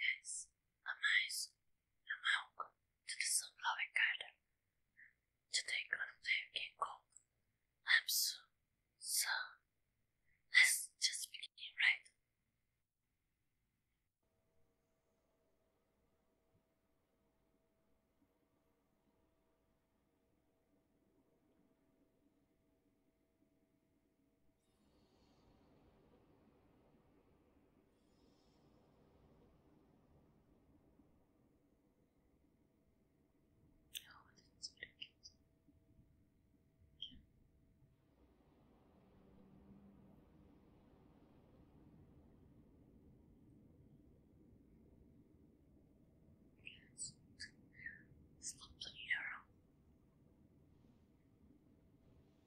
Yes, a mice and my uncle to the sun-loving garden to take one of their I'm so, so, let's just begin, right? Oh, that's very cute. Yeah. Yes. Stop playing around.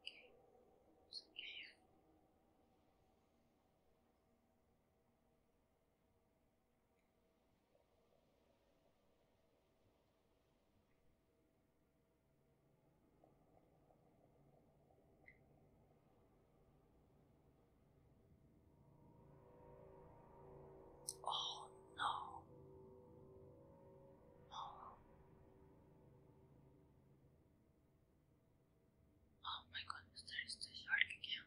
Okay, so here. Oh no. No. Oh my goodness, there is the shark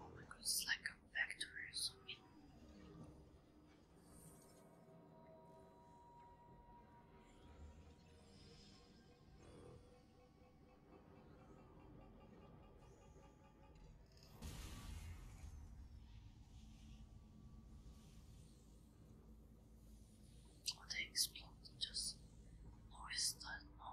Oh my god, it's like a factory or something. What I explained just noise that no.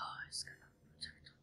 Oh, it's gonna protect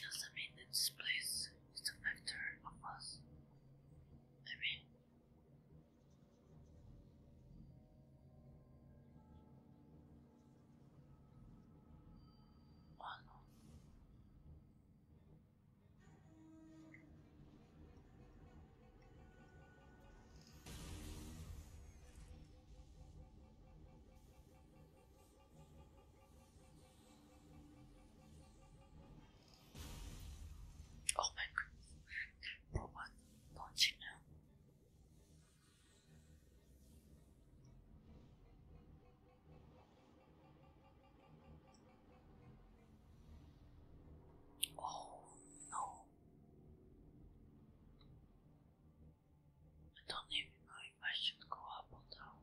Doesn't mean this place is a factor of us. I mean, one. Oh my goodness, for one lunch now. Oh no. I don't even know if I should go up or down.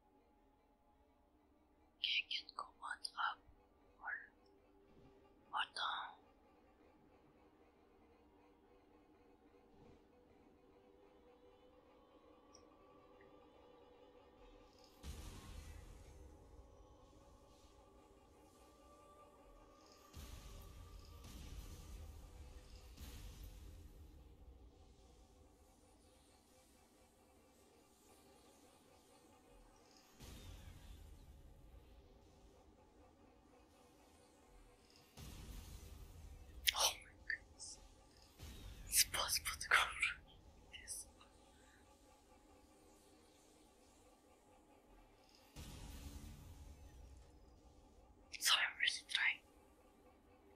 can Quelqu'un ne comprendra. or down. Oh my goodness. It's possible to go through this. So I'm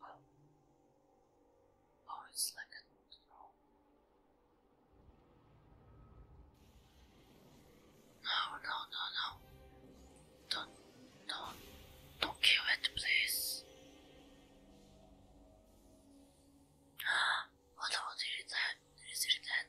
Oh, oh it's like a No, no, no, no. Don't, don't, don't kill it, please. what about it? Is it dead?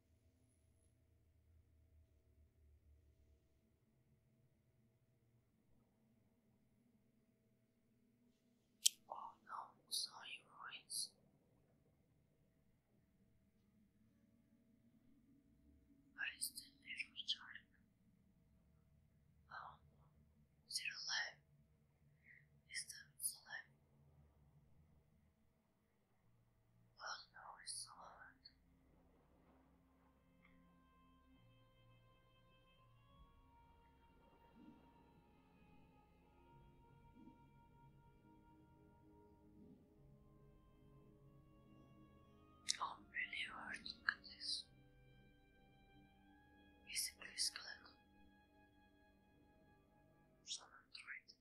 Oh no, sorry, Royce. Oh Oh no, it's so hard. I'm really hurting at this. Is it please click? So i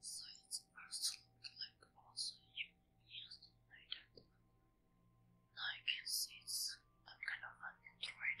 So it's sort like also human like that. Now I can see it's kind of an android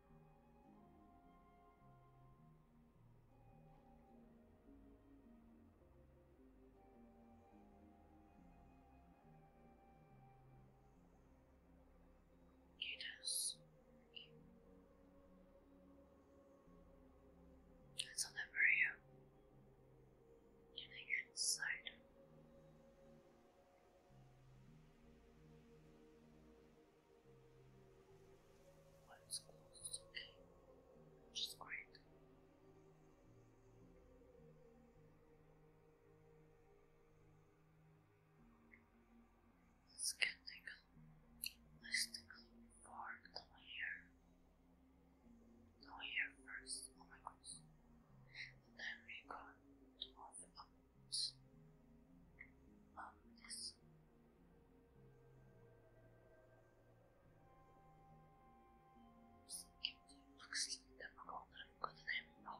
It It's on the area. Can inside? What is close? Okay. Just quiet. Let's get tickle. Let's tickle for no hair. No hair first. Oh my goodness. And then we go to off up. Up this. Looks difficult, but I'm good at having no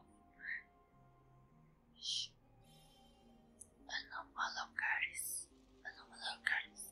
Anomalo Curtis. Anomalo Curtis.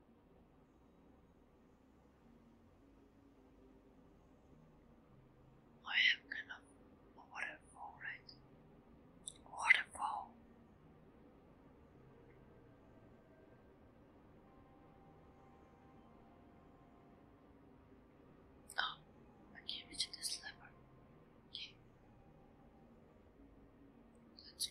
I am gonna a waterfall, right? Waterfall. Oh, I can't reach this lever. Okay. Let's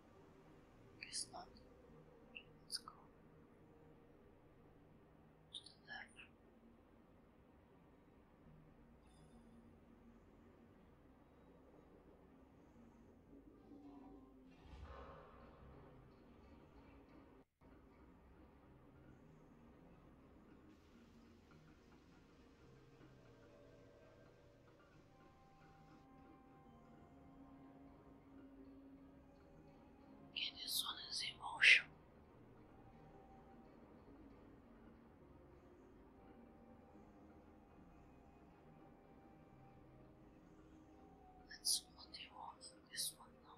It's not. Let's go to the left this one is emotional. That's what they want for this one now.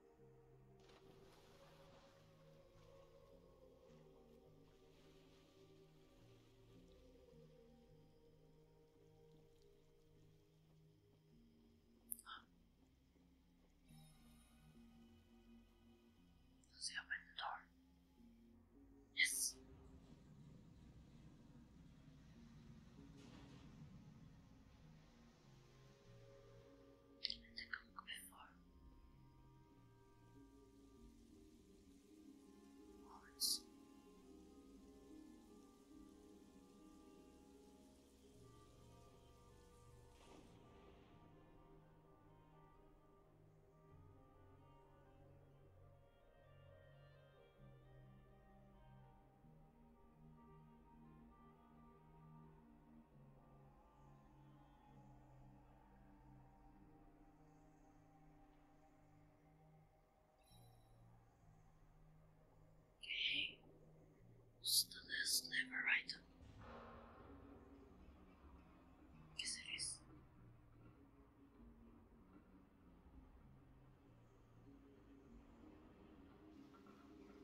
Does he open the door? Yes than the cook before. Once. Okay, so that's never right. Yes, it is.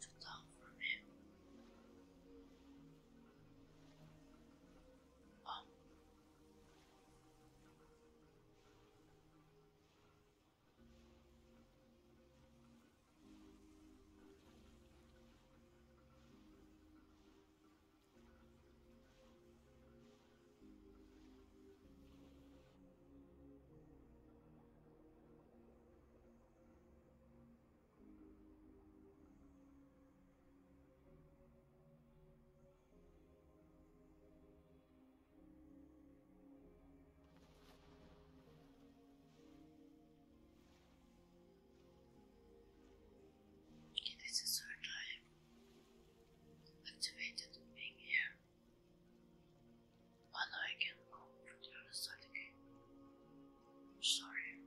to talk from him. Oh. It is a third time activated in here. But I can go over the other side again. Sorry.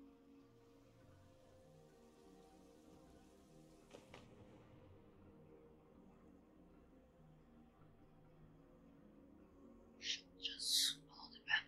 Just follow the path.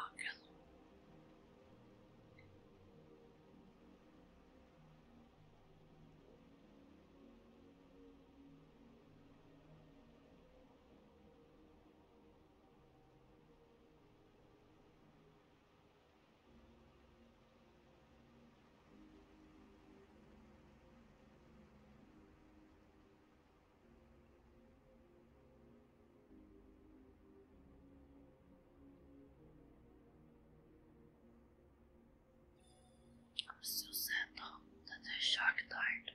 Ángelo. I'm still sad though that the shark died.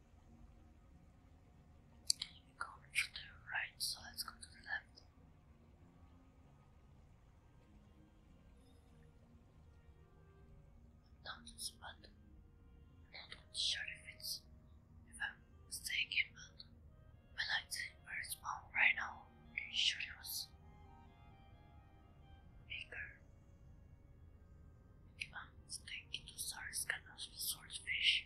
We go to the right, so let's go to the left. Not this button. Not sure if it's if I'm mistaken, but when I did first spawn right now, it was bigger. I'm mistaken, the stars cannot be swordfish.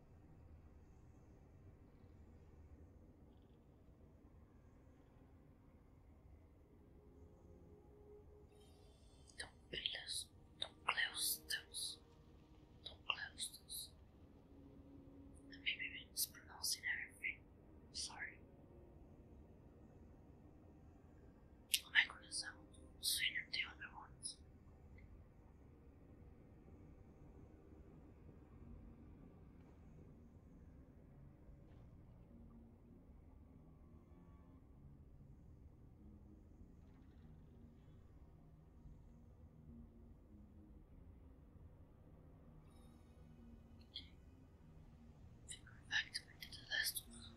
Don't be close, don't close doors. don't close doors. I'm maybe mispronouncing everything. Sorry. Oh my goodness, I want to sooner the other ones. Figure back to the last one.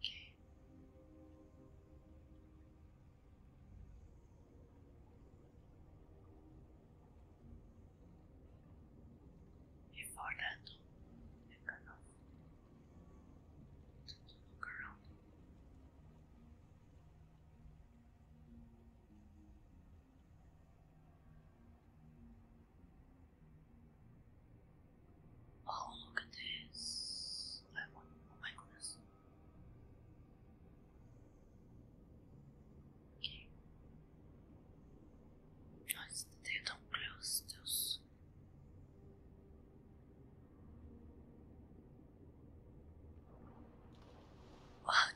Okay. Before that, I'm look around. Oh, look at this. oh my goodness. Okay. Nice that they close those.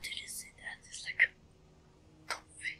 did you see that? It's like a dolphin.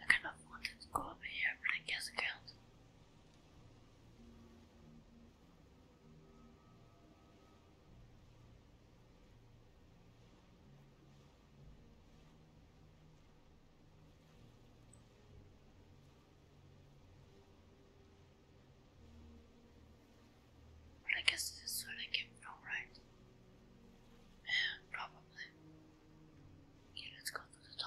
I kind of wanted to go over here, but I guess I can But I guess this is where I came from, right? Yeah, probably. Okay, let's go through the door.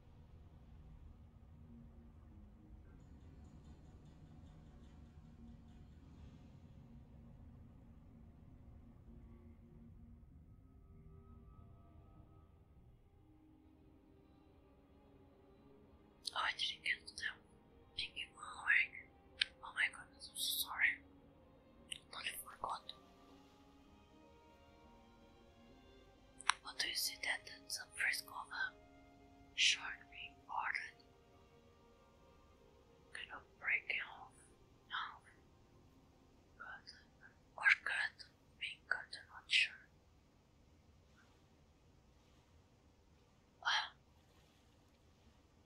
Oh, I didn't get that thingy mark. Oh my goodness, I'm so sorry. I totally forgot. What do you see that some frisk over? a short being parted? Kind of breaking off now. But, or cut, being cut, not sure. Well,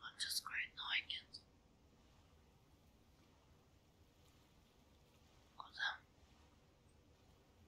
I'm just great knowing it. Cause, um,